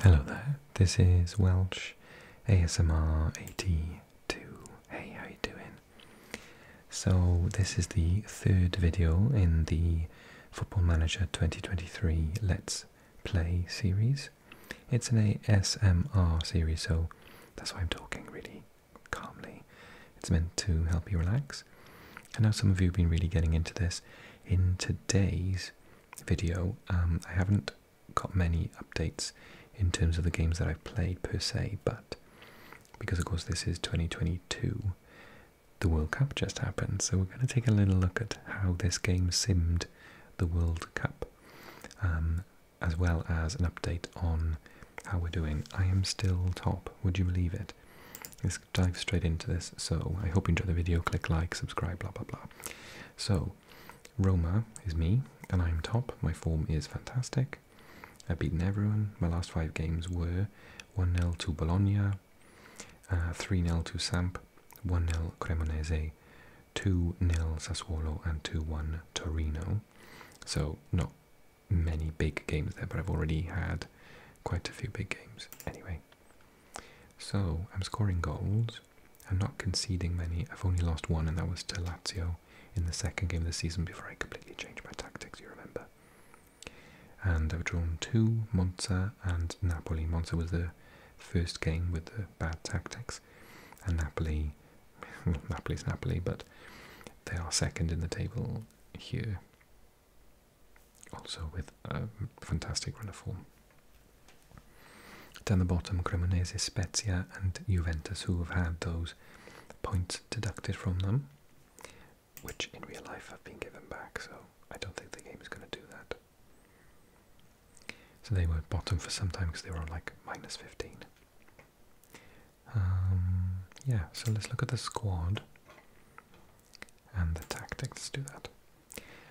Hello there, this is Welch ASMR 82. Hey, how you doing? So this is the third video in the Football Manager 2023 Let's Play series. It's an ASMR series, so that's why I'm talking really calmly. It's meant to help you relax. I know some of you have been really getting into this. In today's video. Um, I haven't got many updates in terms of the games that I've played per se, but because of course this is 2022, the World Cup just happened, so we're going to take a little look at how this game simmed the World Cup, um, as well as an update on how we're doing. I am still top, would you believe it? dive straight into this. So I hope you enjoy the video. Click like, subscribe, blah blah blah. So Roma is me, and I'm top. My form is fantastic. I've beaten everyone. My last five games were 1 0 to Bologna, uh, 3 uh, 0 to Samp, 1 0 Cremonese, 2 0 Sassuolo, and 2 1 Torino. So, not many big games there, but I've already had quite a few big games. Anyway, so I'm scoring goals. I'm not conceding many. I've only lost one, and that was to Lazio in the second game of the season before I completely changed my tactics, you remember. And I've drawn two, Monza and Napoli. Monza was the first game with the bad tactics, and Napoli, Napoli Napoli's Napoli, but they are second in the table here also with a fantastic run of form. Down the bottom, Cremonese, Spezia, and Juventus, who have had those points deducted from them, which in real life have been given back, so I don't think the game is going to do that. So they were bottom for some time because they were on like minus 15. Um, yeah, so let's look at the squad and the tactics do that.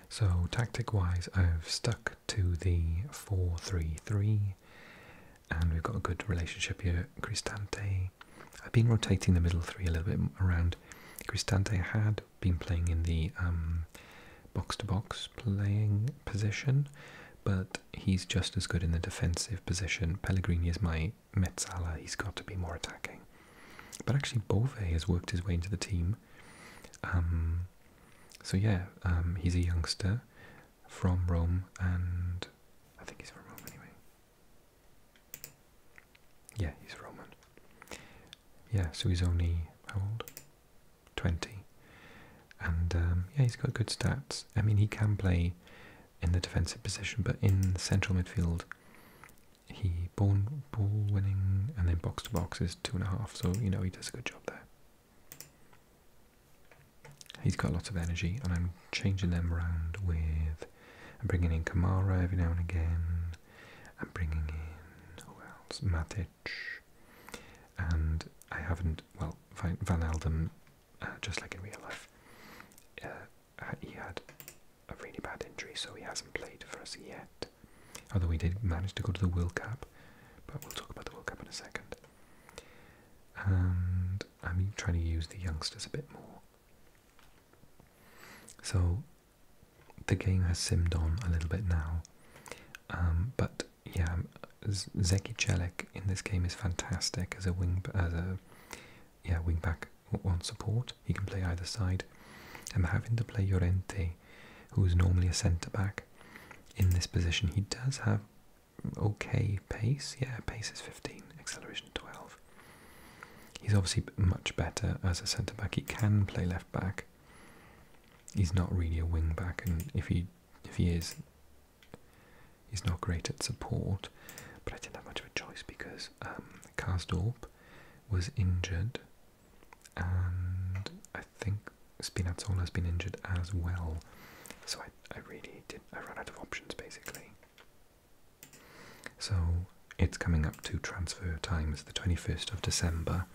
So tactic wise I've stuck to the four-three-three, and we've got a good relationship here. Cristante, I've been rotating the middle three a little bit around. Cristante had been playing in the box to box playing position, but he's just as good in the defensive position. Pellegrini is my Metzala, he's got to be more attacking. But actually, Bove has worked his way into the team. Um, so yeah, um, he's a youngster from Rome, and I think he's from Rome anyway. Yeah, he's Roman. Yeah, so he's only how old? Twenty, and um, yeah, he's got good stats. I mean, he can play in the defensive position, but in central midfield, he ball ball winning and then box to box is two and a half. So you know he does a good job there. He's got lots of energy, and I'm changing them around with. bringing in Kamara every now and again. i bringing in who else? Matic, and I haven't. Well, Van Alden, uh, just like in real life, uh, he had a really bad injury, so he hasn't played for us yet. Although we did manage to go to the World Cup, but we'll talk about the World Cup in a second. And I'm trying to use the youngsters a bit more. So the game has simmed on a little bit now. Um, but yeah, Zeki Celik in this game is fantastic as a wing as a yeah wing back on support, he can play either side. I'm having to play Llorente, who is normally a centre back, in this position. He does have okay pace. Yeah, pace is 15, acceleration 12. He's obviously much better as a centre back. He can play left back. He's not really a wing back, and if he if he is, he's not great at support. But I didn't have much of a choice because um, Karsdorp was injured, and I think Spinazzola has been injured as well. So I, I really did, I ran out of options basically. So it's coming up to transfer times, the 21st of December.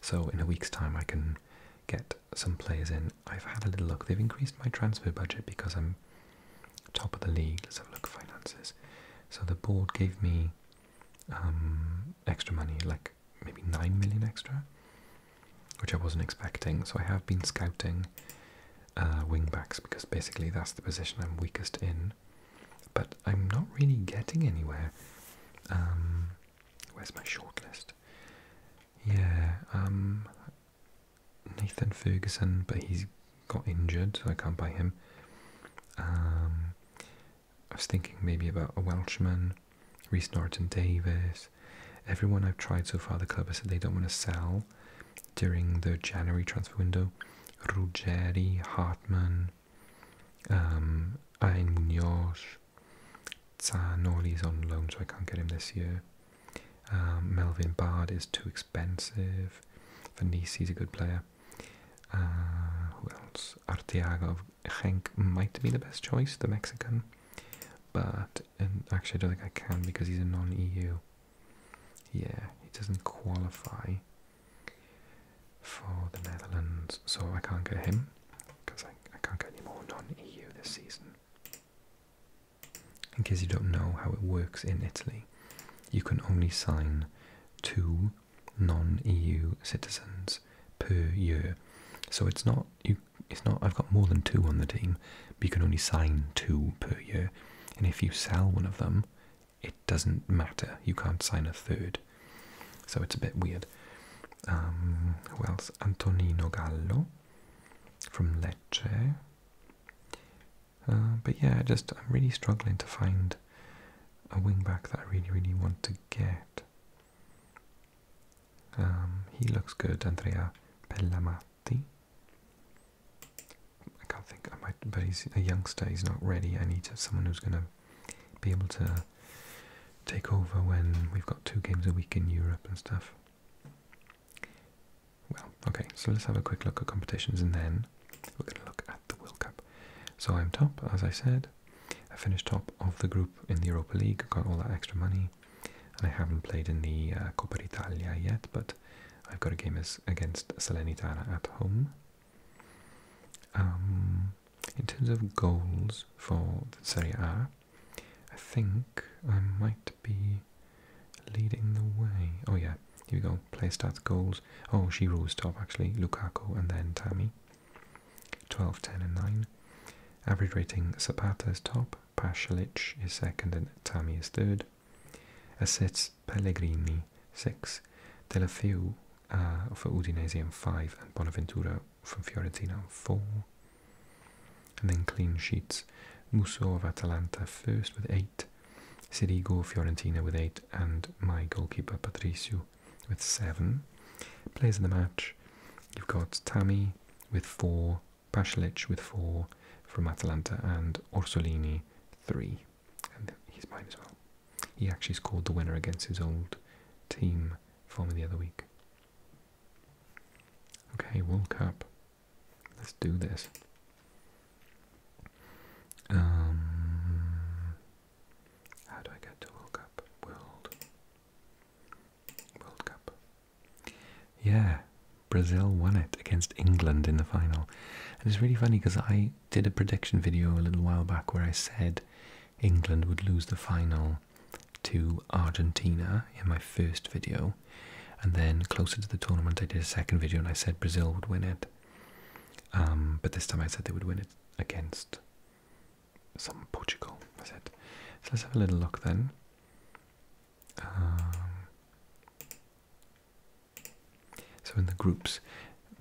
So in a week's time, I can get some players in. I've had a little look. They've increased my transfer budget because I'm top of the league. Let's have a look at finances. So the board gave me um, extra money, like maybe 9 million extra, which I wasn't expecting. So I have been scouting uh, wingbacks because basically that's the position I'm weakest in. But I'm not really getting anywhere. Um, where's my shortlist? Yeah, um, Nathan Ferguson, but he's got injured, so I can't buy him. Um, I was thinking maybe about a Welshman, Reese Norton Davis. Everyone I've tried so far, the club has said they don't want to sell during the January transfer window. Ruggeri, Hartman, um, Ayn Munoz, Zanoli is on loan, so I can't get him this year. Um, Melvin Bard is too expensive expensive. is a good player. Uh, who else? Arteaga of Genk might be the best choice, the Mexican. But actually, I don't think I can because he's a non-EU. Yeah, he doesn't qualify for the Netherlands, so I can't get him because I can't get any more non-EU this season. In case you don't know how it works in Italy, you can only sign 2 non-EU citizens per year. So it's not you. It's not. I've got more than two on the team, but you can only sign two per year. And if you sell one of them, it doesn't matter. You can't sign a third. So it's a bit weird. Um, who else? Antonino Gallo from Lecce. Uh, but yeah, just I'm really struggling to find a wingback that I really, really want to get. Um, he looks good, Andrea Pellamati. I can't think. I might, but he's a youngster. He's not ready. I need someone who's going to be able to take over when we've got two games a week in Europe and stuff. Well, okay. So let's have a quick look at competitions, and then we're going to look at the World Cup. So I'm top, as I said. I finished top of the group in the Europa League, I got all that extra money, I haven't played in the uh, Coppa Italia yet, but I've got a game against Salernitana at home. Um, in terms of goals for the Serie A, I think I might be leading the way. Oh yeah, here we go. Play stats, goals. Oh, she rose top actually. Lukaku and then Tammy. 12, 10, and 9. Average rating Zapata is top, Pashalic is second, and Tammy is third. Assists Pellegrini 6, Delafeu uh, for Udinese 5, and Bonaventura from Fiorentina 4. And then clean sheets. Musso of Atalanta first with eight eight. Sirigo Fiorentina with eight, and my goalkeeper Patricio with seven. plays in the match, you've got Tammy with four, Pasalic with four from Atalanta, and Orsolini three. And he's mine as well. He actually scored the winner against his old team for me the other week. Okay, World Cup. Let's do this. Um, how do I get to World Cup? World, World Cup. Yeah, Brazil won it against England in the final, and it's really funny because I did a prediction video a little while back where I said England would lose the final to Argentina in my first video, and then closer to the tournament I did a second video and I said Brazil would win it. Um, but this time I said they would win it against some Portugal, I said. So let's have a little look then. Um, so in the groups,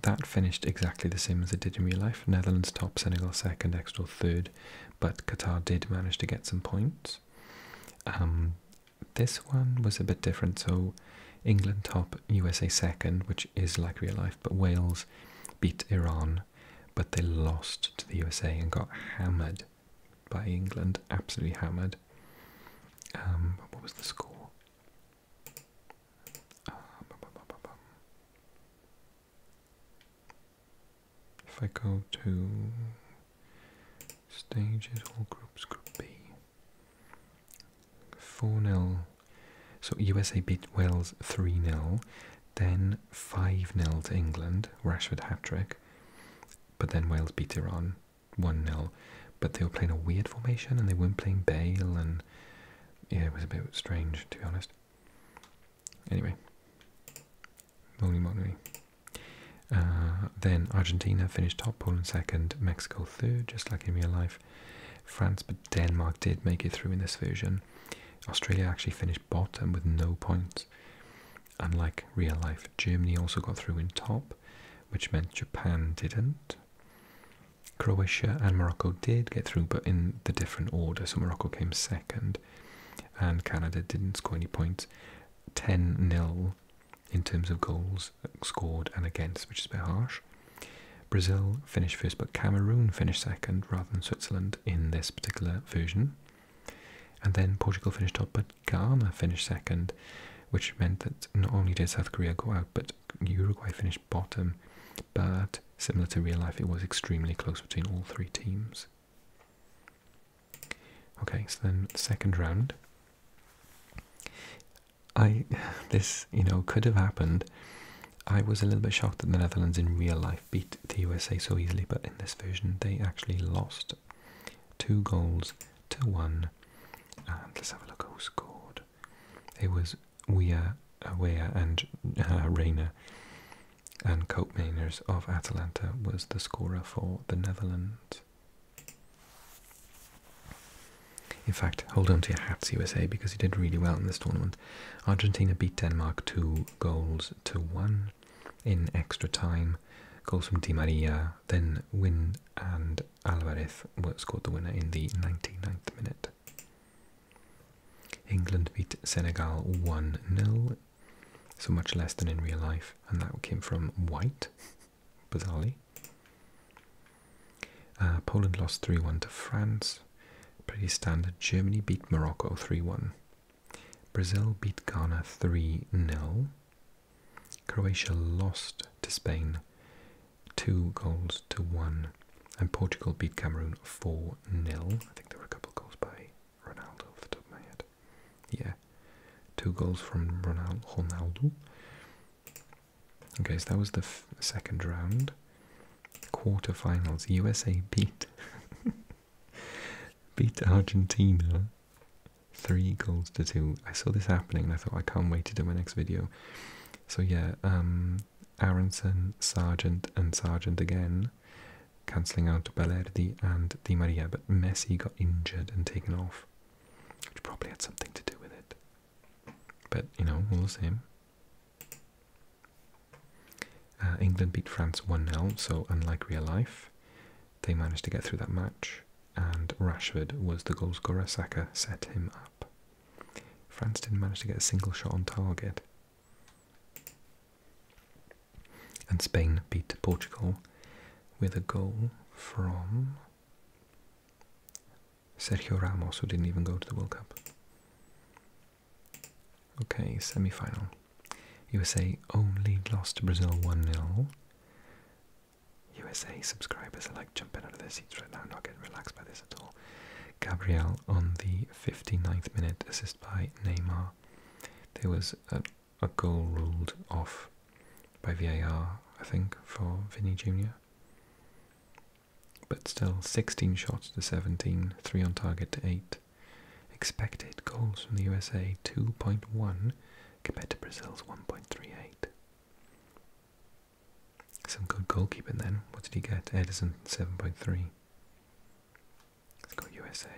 that finished exactly the same as it did in real life. Netherlands top, Senegal second, Exeter third, but Qatar did manage to get some points. Um, this one was a bit different. So England top, USA second, which is like real life, but Wales beat Iran, but they lost to the USA and got hammered by England, absolutely hammered. Um, what was the score? if I go to stages, all groups, group B, 4 0. So USA beat Wales 3 0, then 5 0 to England, Rashford hat trick. But then Wales beat Iran 1 0. But they were playing a weird formation and they weren't playing Bale, and yeah, it was a bit strange to be honest. Anyway, moly moly. Uh, then Argentina finished top, Poland second, Mexico through, just like in real life. France, but Denmark did make it through in this version. Australia actually finished bottom with no points. Unlike real life, Germany also got through in top, which meant Japan didn't. Croatia and Morocco did get through, but in the different order. So Morocco came second, and Canada didn't score any points. 10 nil in terms of goals scored and against, which is a bit harsh. Brazil finished first, but Cameroon finished second rather than Switzerland in this particular version. And then Portugal finished top, but Ghana finished second, which meant that not only did South Korea go out, but Uruguay finished bottom. But similar to real life, it was extremely close between all three teams. Okay, so then second round. I this you know could have happened. I was a little bit shocked that the Netherlands in real life beat the USA so easily, but in this version they actually lost two goals to one. And let's have a look at who scored. It was Weah, uh, Weah and uh, Reina and Copenhageners of Atalanta was the scorer for the Netherlands. In fact, hold on to your hats, USA, because you did really well in this tournament. Argentina beat Denmark two goals to one in extra time. Goals from Di Maria, then Win and Alvarez scored the winner in the 99th minute. England beat Senegal 1 0, so much less than in real life, and that came from White bizarrely. Uh, Poland lost 3 1 to France. Pretty standard. Germany beat Morocco 3 1. Brazil beat Ghana 3 0. Croatia lost to Spain 2 goals to 1. And Portugal beat Cameroon 4 0. I think there were a couple goals by Ronaldo off the top of my head. Yeah. Two goals from Ronaldo. Okay, so that was the second round. Quarterfinals. USA beat beat Argentina three goals to two. I saw this happening and I thought I can't wait to do my next video. So yeah, um, Aronson, Sargent, and Sargent again, cancelling out to Balerdi and Di Maria, but Messi got injured and taken off which probably had something to do with it. But you know, all the same. Uh, England beat France 1 0, so unlike real life, they managed to get through that match, and Rashford was the goalscorer. Saka set him up. France didn't manage to get a single shot on target. And Spain beat Portugal with a goal from Sergio Ramos, who didn't even go to the World Cup. Okay, semi final. USA only lost to Brazil 1 0. USA subscribers are like jumping out of their seats right now, not getting relaxed by this at all. Gabriel on the 59th minute, assist by Neymar. There was a goal ruled off by VAR, I think, for Vinny Jr. But still, 16 shots to 17, 3 on target to 8. Expected goals from the USA 2.1 compared to Brazil's 1.38. Some good goalkeeping then. What did he get? Edison 7.3. point three. It's got USA.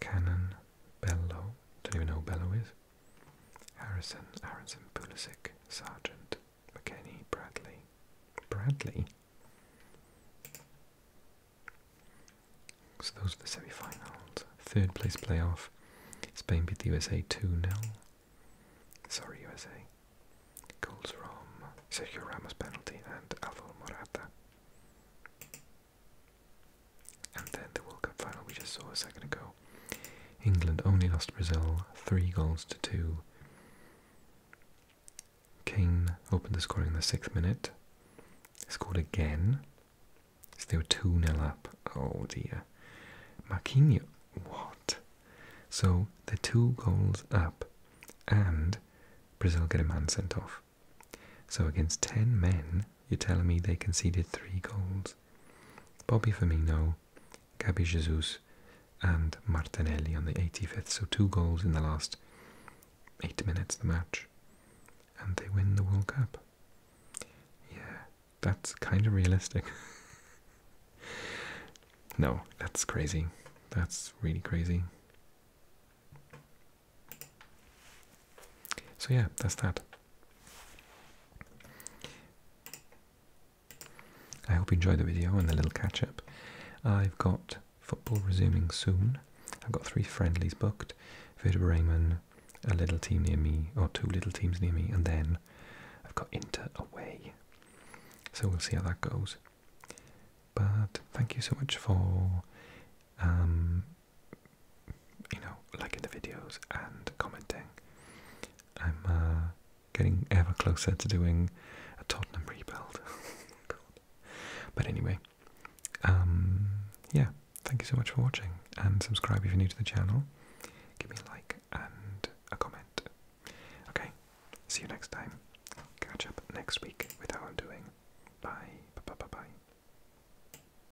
Cannon, Bello. Don't even know who Bello is. Harrison, Harrison Pulisic, Sergeant, McKenny, Bradley. Bradley? So those are the semifinals. Third place playoff. Spain beat the USA 2-0. Sorry, USA. Goals from Sergio Ramos penalty and Alvaro Morata. And then the World Cup final we just saw a second ago. England only lost Brazil three goals to two. Kane opened the scoring in the sixth minute, scored again. So they were 2 0 up. Oh dear. Marquinhos, what? So the two goals up, and Brazil get a man sent off. So against 10 men, you're telling me they conceded three goals players Bobby Firmino, Gabi Jesus, and Martinelli on the 85th. So two goals in the last eight minutes of the match, and they win the World Cup. Yeah, that's kind of realistic. no, that's crazy. That's really crazy. So yeah, that's that. I hope you enjoyed the video and the little catch-up. I've got football resuming soon. I've got three friendlies booked. Vertebra Raymond, a little team near me, or two little teams near me, and then I've got Inter away. So we'll see how that goes. But thank you so much for um, you know, liking the videos and commenting. I'm uh, getting ever closer to doing a Tottenham rebuild. Oh, but anyway, um, yeah, thank you so much for watching and subscribe if you're new to the channel. Give me a like and a comment. Okay, see you next time. Catch up next week with how I'm doing. Bye bye bye bye.